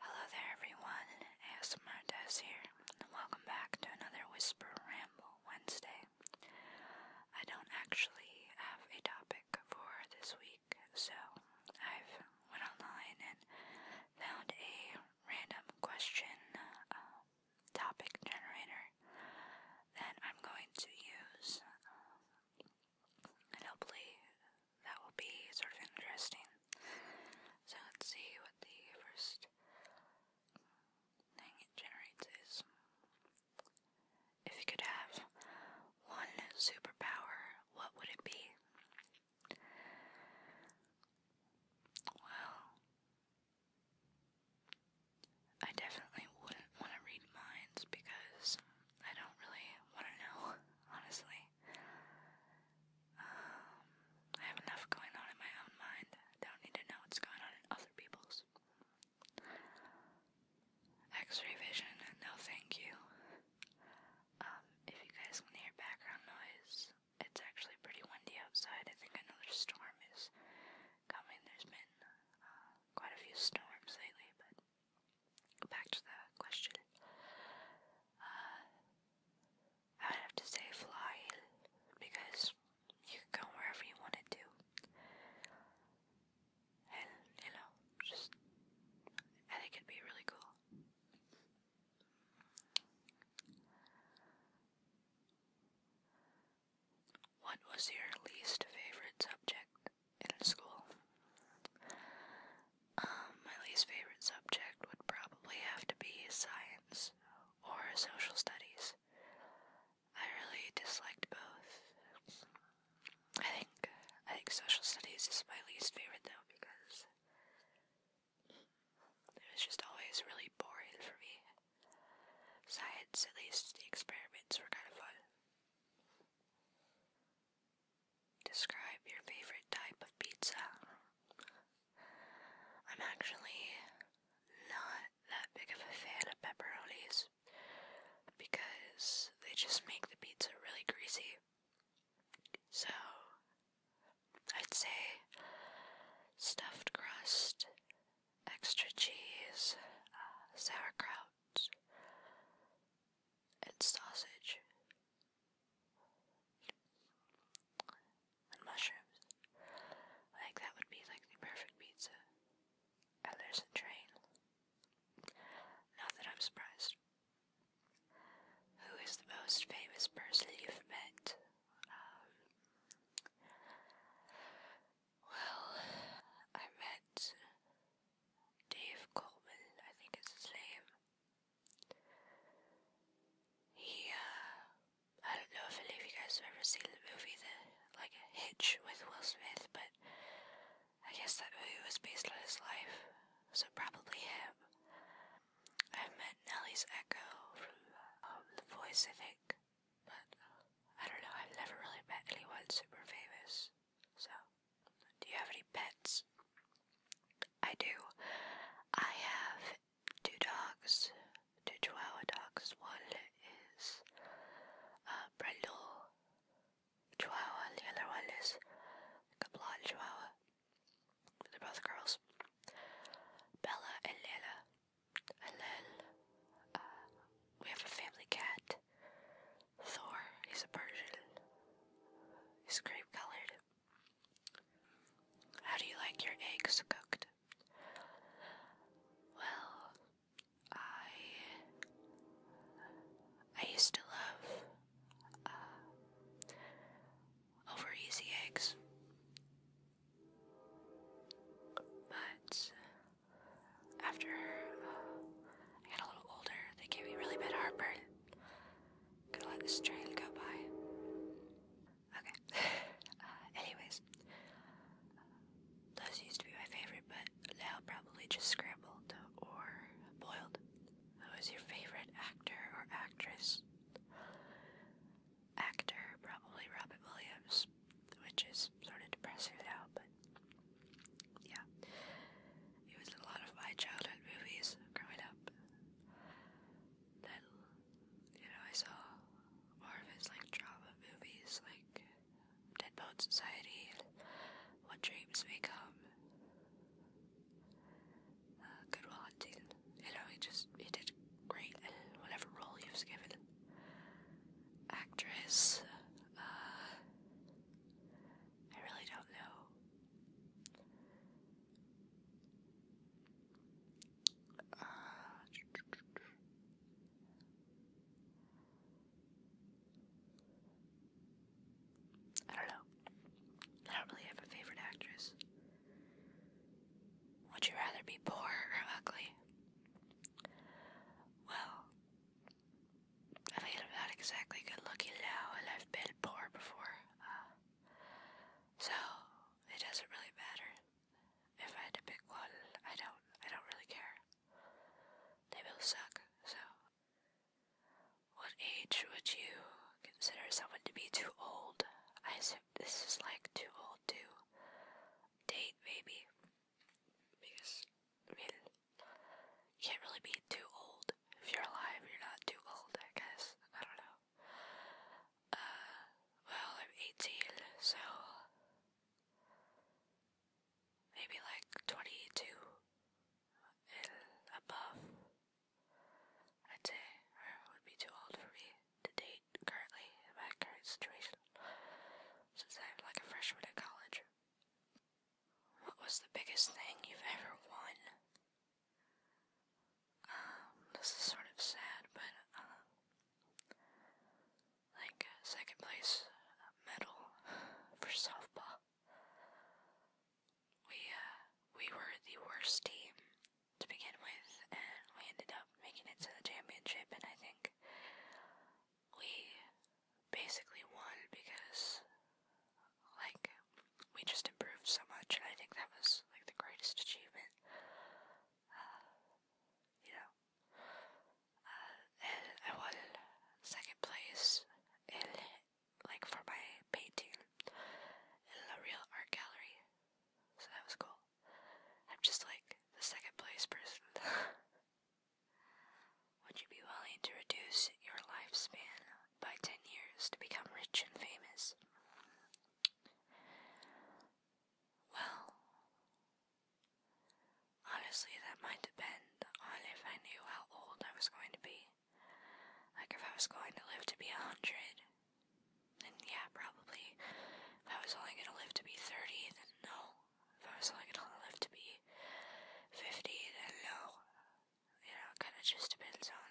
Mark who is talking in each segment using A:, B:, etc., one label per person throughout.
A: Hello there, everyone. ASMR Des here, welcome back to another Whisper Ramble Wednesday. I don't actually have a topic for this week so I've went online and found a random question uh, topic generator that I'm going to use, and hopefully that will be sort of interesting. So let's see what the first thing it generates is. If you could have one superpower, what would it be? Well, I definitely wouldn't want to read minds because I don't really want to know, honestly. Um, I have enough going on in my own mind. don't need to know what's going on in other people's. X-ray vision, no thank you. Um, if you guys want hear background noise, it's actually pretty windy outside. I think another storm is coming. There's been uh, quite a few storms lately, but back to the question. Uh, I would have to say fly because you can go wherever you want to and just I think it'd be really cool. What was your least favorite subject in school? Um, my least favorite subject would probably have to be science or social studies. I really disliked both. I think I think social studies is my least favorite though because it was just always really boring for me. Science, at least the experiments were kind of fun. Describe your favorite type of pizza. I'm actually not that big of a fan of pepperonis because they just make the pizza really greasy. So, I'd say stuffed crust, extra cheese, uh, sauerkraut, and sausage, and mushrooms. Like, that would be like the perfect pizza. And train. Not that I'm surprised. Who is the most famous person you've met? Um, well, I met Dave Coleman, I think is his name. He, uh, I don't know if any of you guys have ever seen the movie, the, like, Hitch with Will Smith, but I guess that movie was based on his life, so probably him. I've met Nellie's echo from um, The Voice, I think, but I don't know, I've never really met anyone super famous. So, do you have any pets? I do. I have two dogs, two Chihuahua dogs. One is uh, Brendel, Chihuahua the other one is a blonde Chihuahua. They're both girls. Bella and Nana. And uh, we have a family cat. Thor. He's a Persian. He's cream colored. How do you like your eggs cooked? Well, I I used to love uh, over easy eggs, but after I got a little older, they gave me really bad heartburn. Gonna let this train go by. Okay. Uh, anyways, those. used to be my favorite, but now probably just scrambled or boiled. Who is your favorite actor or actress? Actor, probably Robert Williams, which is sort of depressing now, but yeah. He was a lot of my childhood movies growing up. Then, you know, I saw more of his like drama movies, like Deadbone Society, What Dreams Become, uh, Hunting. You know, he just he did great whatever role he was given. Actress, uh, I really don't know. Uh, I don't know. I don't really have a favorite actress. Would you rather be poor or ugly? Well, I am not exactly good looking now, and I've been poor before. Uh, so, it doesn't really matter. If I had to pick one, I don't I don't really care. They both suck, so what age would you consider someone to be too old? I assume this is like too old to date, maybe. Because I mean you can't really be too old. If you're alive, you're not too old, I guess. I don't know. Uh well I'm eighteen, so maybe like 22 and above. I'd say, I would be too old for me to date currently in my current situation, since I'm like a freshman at college. What was the biggest thing you've ever won? Um, this is sort of sad, but, uh, like uh, second place uh, medal for softball. We uh, we were the worst team to begin with, and we ended up making it to the championship. And I think we basically won because like we just improved so much, and I think that was like the greatest achievement. Uh, you know, I uh, won second place in like for my painting in a real art gallery, so that was cool. I'm just like the second place person. Would you be willing to reduce your lifespan by 10 years to become rich and famous? Well, Honestly, that might depend on if I knew how old I was going to be. Like if I was going to live to be a hundred, then yeah, probably. If I was only going to live to be 30, then no. If I was only going to live to be 50, then no. You know, it kind of just depends on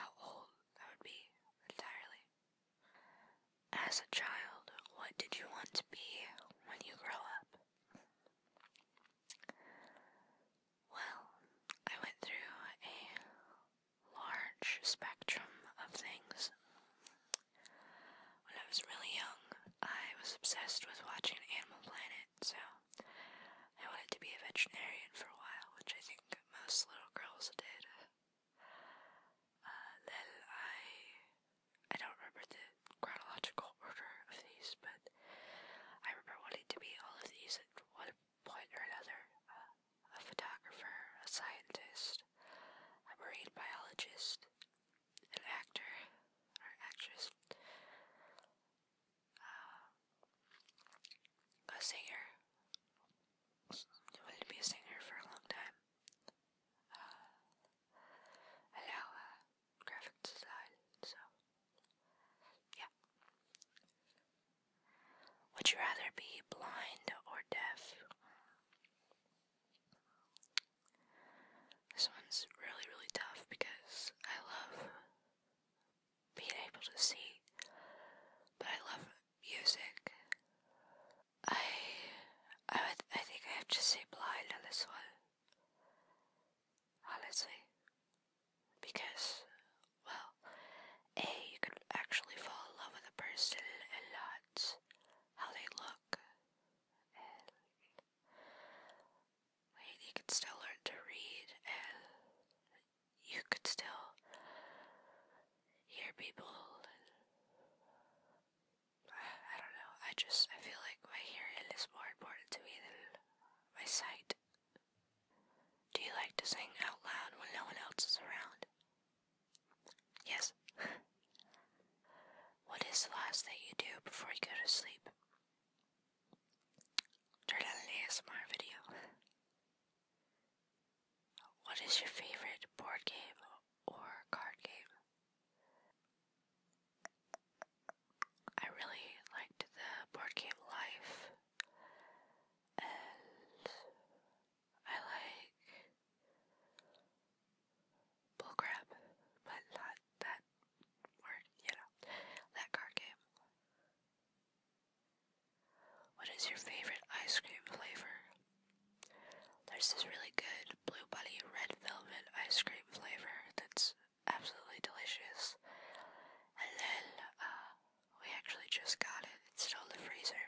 A: how old that would be entirely. As a child, what did you want to be when you grow up? Well, I went through a large spectrum of things. When I was really young, I was obsessed with watching Animal Planet, so I wanted to be a veterinarian for a while, which I think most little girls did. Uh, I, I don't remember the chronological order of these, but I remember wanting to be all of these at one point or another. Uh, a photographer, a scientist, a marine biologist, an actor, an actress, uh, a singer, wanted to be a singer for a long time. Uh, uh graphic design, so yeah. Would you rather be blind or deaf? This one's really, really tough because I love being able to see, but I love music. I I would I think I have to say blind on this one. Honestly. Because well, A you can actually fall in love with a person and not how they look. And you can still learn to read and you could still hear people. Uh, I don't know. I just I feel like my hearing is more important to me than my sight. Do you like to sing out loud when no one else is around? Yes. what is the last thing you do before you go to sleep? Turn on an ASMR video. What is your favorite board game or card game? I really liked the board game Life, and I like Bull Crab, but not that word, you know, that card game. What is your favorite ice cream flavor? There's this really good Blue Bunny red velvet ice cream flavor that's absolutely delicious. And then, uh, we actually just got it. It's still in the freezer.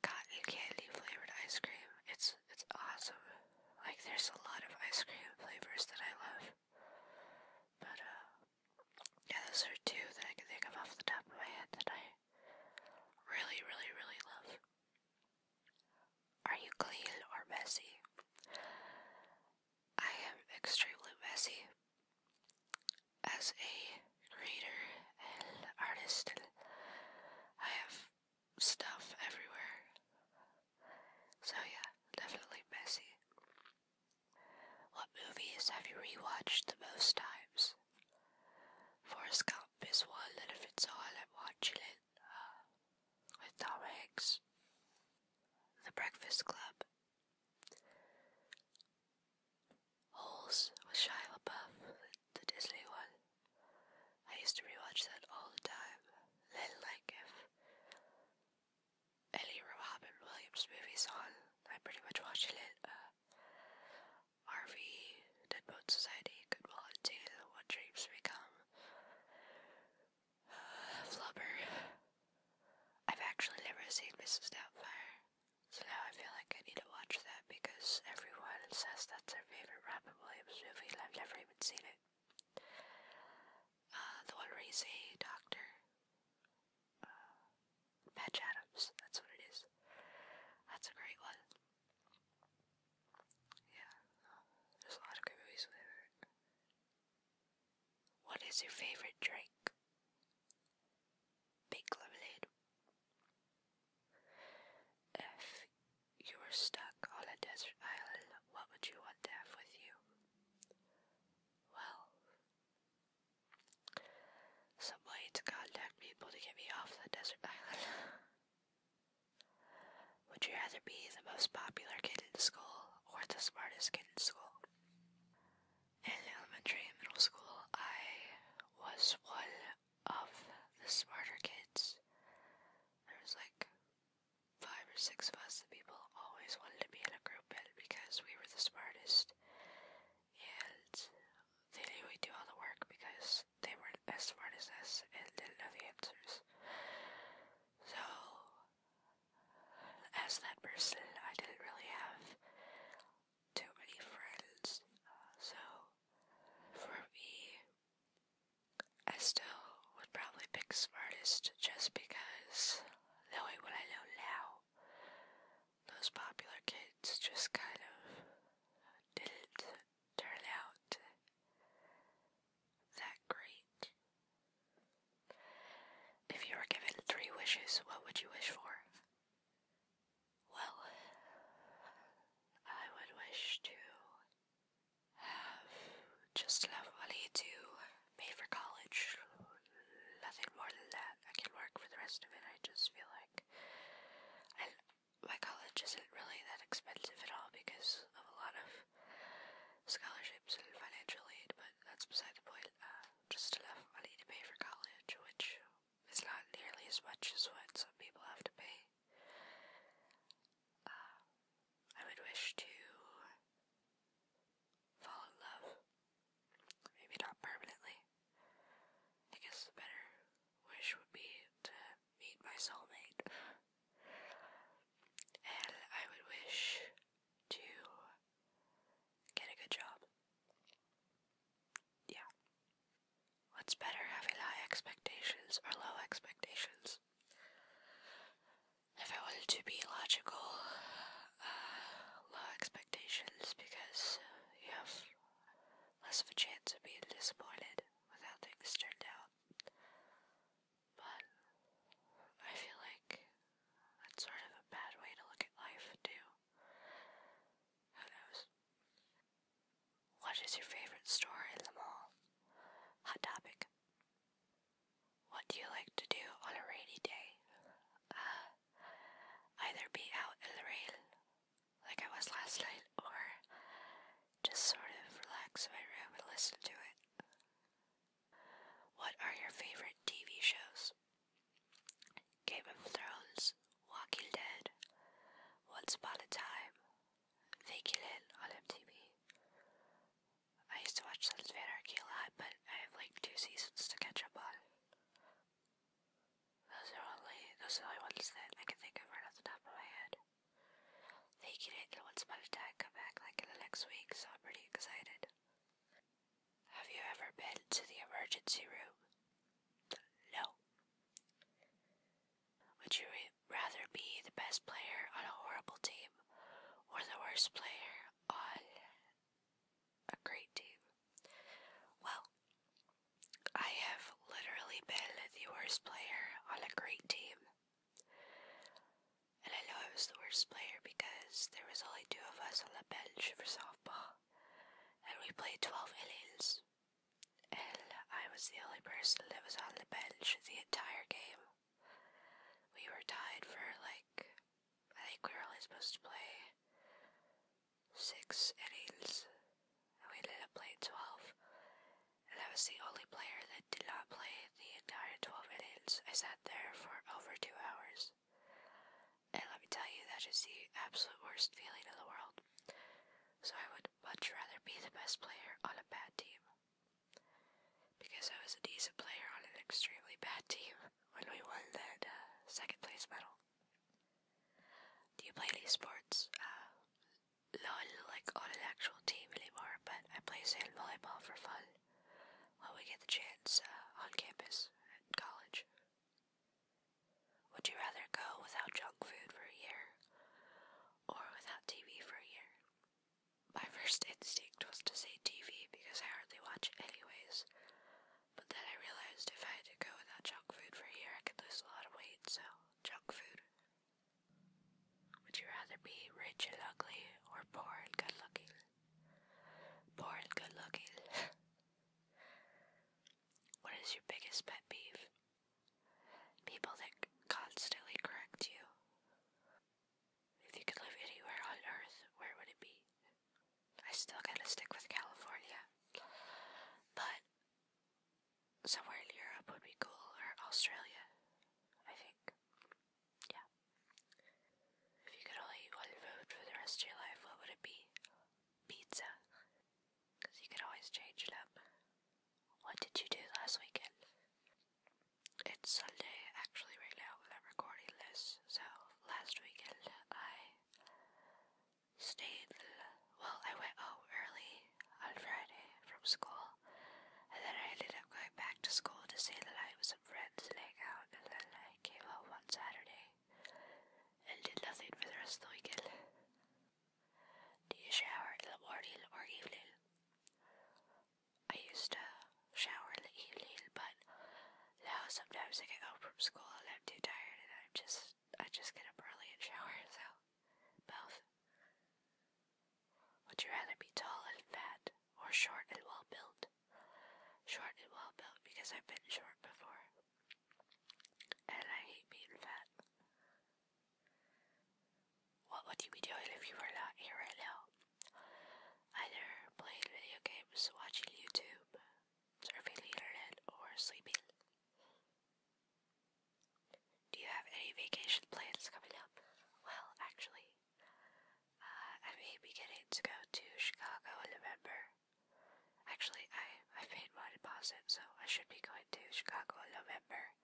A: Cotton candy flavored ice cream. It's it's awesome. Like there's a lot of ice cream flavors that I love. But uh yeah, those are two that I can think of off the top of my head that I really, really, really love. Are you clean or messy? I am extremely messy. As a creator and artist, I have stuff everywhere. So, yeah, definitely messy. What movies have you rewatched the most times? Forrest Gump is one that if it's all I'm watching it uh, with Tom Hanks. The Breakfast Club. Holes with Shia LaBeouf, the Disney one. I used to rewatch that all the time. Then, like, if Ellie Robin Williams movies on. I pretty much watch it. Uh, RV, Deadbone Society, Goodwill Hunting, What Dreams Become, uh, Flubber. I've actually never seen Mrs. Doubtfire, so now I feel like I need to watch that because everyone says that's their favorite Robin Williams movie and I've never even seen it. Uh, the one where he's a doctor. Uh, Patch Adams, that's what it is. That's a great one. Yeah, there's a lot of great movies What is your favorite drink? Pink lemonade. If you were stuck on a desert island, what would you want to have with you? Well, some way to contact people to get me off the desert island. Would you rather be the most popular kid in school or the smartest kid in school? In elementary and middle school, I was one of the smarter kids. There was like five or six of us, the people always wanted to be in a group because we were the smartest and they knew we'd do all the work because they were as smart as us and didn't know the answers. So, as that person, I didn't really have too many friends. so, for me, Estelle would probably pick smartest just because knowing what I know now, those popular kids just kind of didn't turn out that great. If you were given three wishes, what would you wish for? Well, I would wish to have just enough money to pay for college. Nothing more than that. I can work for the rest of it. I just feel like I, my college isn't really that expensive at all because of a lot of scholarships and financial aid, but that's beside the point. Uh, just enough money to pay for college, which is not nearly as much as what some people have to pay. Uh, I would wish to fall in love. Maybe not permanently. I guess the better wish would be to meet my soulmate. And I would wish to get a good job. Yeah. What's better, having high expectations or low expectations? if I wanted to be logical, uh, low expectations because uh, you have less of a chance of being disappointed with how things turned out. But I feel like that's sort of a bad way to look at life, too. Who knows? What is your favorite store in the mall? Hot topic. What do you like to do on a rainy day? Uh, either be out in the rain, like I was last night, or just sort of relax in my room and listen to it. What are your favorite TV shows? Game of Thrones, Walking Dead, Once Upon a Time, Vacation on MTV. I used to watch Sons of Anarchy a lot, but I have like two seasons to catch up on. Those are only those are the only ones that I can think of right off the top of my head. They get it in Once Upon a Time come back like in the next week, so I'm pretty excited. Have you ever been to the emergency room? No. Would you rather be the best player on a horrible team or the worst player on a great team. Well, I have literally been the worst player on a great team. And I know I was the worst player because there was only two of us on the bench for softball. And we played 12 innings. And I was the only person that was on the bench the entire game. We were tied for like, I think we were only supposed to play six innings, and we ended up playing 12. And I was the only player that did not play the entire 12 innings. I sat there for over two hours. And let me tell you, that is the absolute worst feeling in the world. So I would much rather be the best player on a bad team because I was a decent player on an extremely bad team when we won that uh, second place medal. Do you play any sports? Uh, not like on an actual team anymore, but I play sand volleyball for fun when we get the chance uh, on campus at college. Would you rather go without junk food for a year or without TV for a year? My first instinct was to say TV because I hardly watch it anyways, but then I realized if I had to go without junk food for a year, I could lose a lot of weight, so junk food. Would you rather be rich and ugly or poor and good looking? Poor and good looking. what is your biggest pet peeve? People that constantly correct you. If you could live anywhere on earth, where would it be? I still gotta stick with California. But somewhere in Europe would be cool, or Australia, I think. Yeah. If you could only eat one food for the rest of your life, what would it be? Pizza. Because you could always change it up. What did you do last weekend? It's Sunday actually right now when i recording this. So last weekend I stayed well, I went home early on Friday from school and then I ended up going back to school to stay the night with some friends and hang out and then I came home on Saturday and did nothing for the rest of the weekend. Do you shower in the morning or evening? I used to shower in the but now sometimes I get home from school and I'm too tired and I'm just I just get up early and shower, so both. Would you rather be tall and fat or short and well built? Short and well built because I've been short before. And I hate being fat. What would you be doing if you were not here right now? Either playing video games, watching YouTube, surfing the internet, or sleeping. Do you have any vacation plans coming up? Well, actually, uh, I am beginning to go to Chicago in November. Actually, I, I paid my deposit, so I should be going to Chicago in November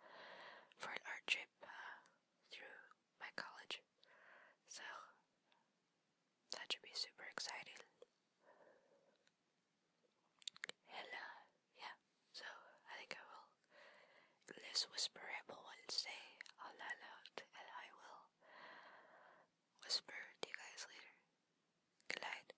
A: for an art trip. Uh, through my college. So that should be super exciting. And uh, yeah, so I think I will this whisper ramble Wednesday on that note, and I will whisper to you guys later. Good night.